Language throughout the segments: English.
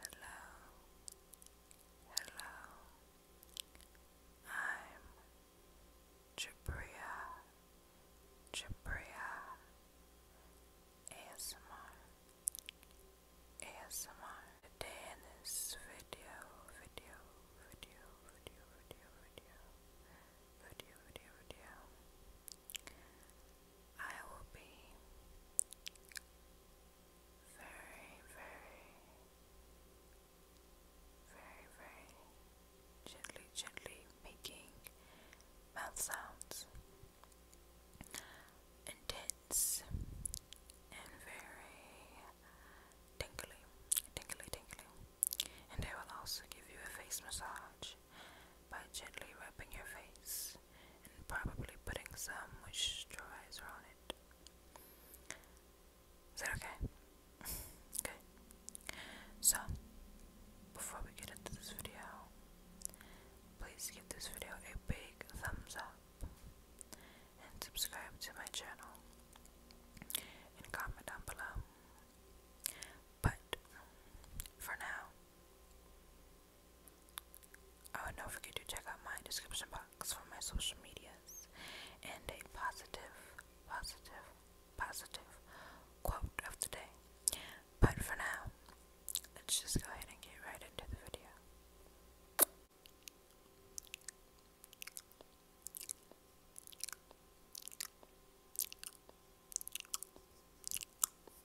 Hello, hello. I'm Jabria, Jabria ASMR, ASMR. Today in video, video, video, video, video, video, video, video, video, I will be very, very, very, very gently, gently making mouth sounds. Intense and very tingly, tingly, tingly. And they will also give you a face massage by gently wrapping your face and probably putting some moisturizer on it. Is that okay? okay. So, before we get into this video, please give this video a big thumbs up and subscribe to my channel and comment down below. But for now, Oh, don't forget to check out my description box for my social medias and a positive, positive, positive quote of the day. But for now, let's just go ahead and get right into the video.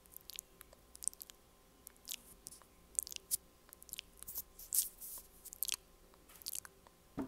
The mic, the mic, the mic.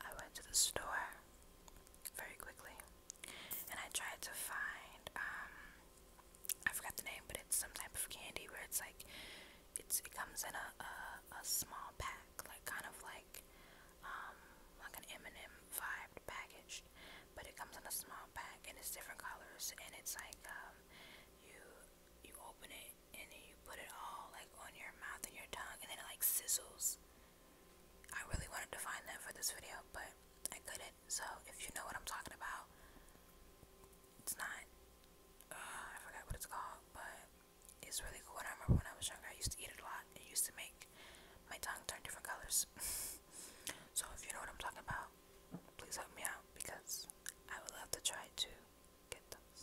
I went to the store very quickly and I tried to find um, I forgot the name, but it's some type of candy where it's like it's it comes in a a, a small pack, like kind of like um like an M&M vibe package, but it comes in a small pack and it's different colors and it's like um you you open it and then you put it all like on your mouth and your tongue and then it like sizzles. I really wanted to find that for this video, but I couldn't. So if you know what I'm talking about, it's not. Uh, I forgot what it's called, but it's really cool. I remember when I was younger, I used to eat it a lot. It used to make my tongue turn different colors. so if you know what I'm talking about, please help me out because I would love to try to get those.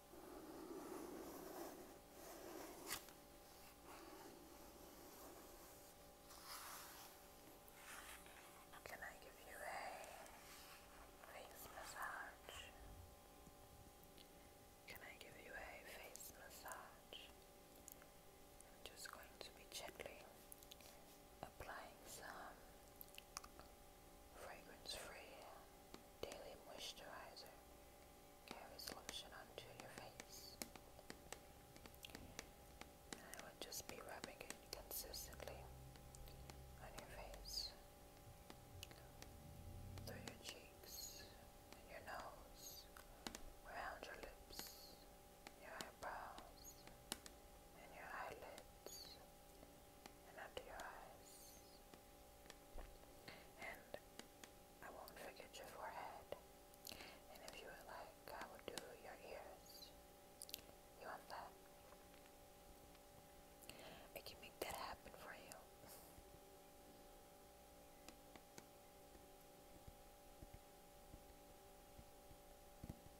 Can I give you a face massage? Can I give you a face massage? I'm just going to be gently applying some Fragrance-free daily moisturizer carries lotion onto your face. I would just be rubbing it consistently on your face, through your cheeks, your nose, around your lips, your eyebrows, and your eyelids and under your eyes. And I won't forget your forehead. And if you would like, I will do your ears. You want that? I can make that happen for you.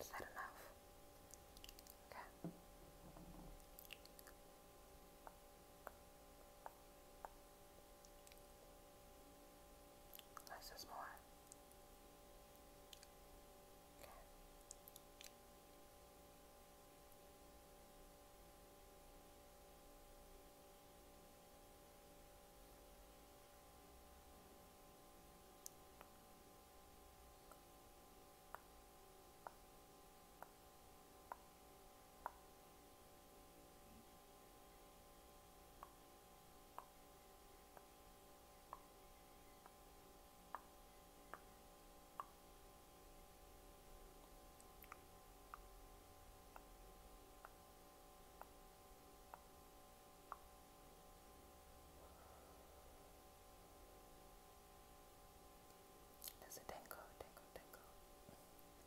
Is that enough? Okay. Less is more. Okay. Okay. There's a tango, tango, tango.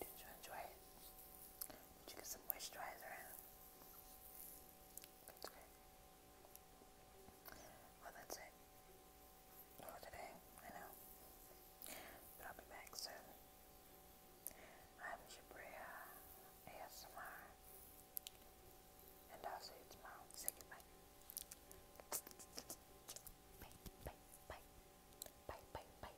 Did you enjoy it? Did you get some moisturizer in? That's great. Well, that's it for today. I know. But I'll be back soon. I'm Jabria ASMR. And I'll see you tomorrow. Say goodbye. Bye, bye, bye. Bye, bye, bye.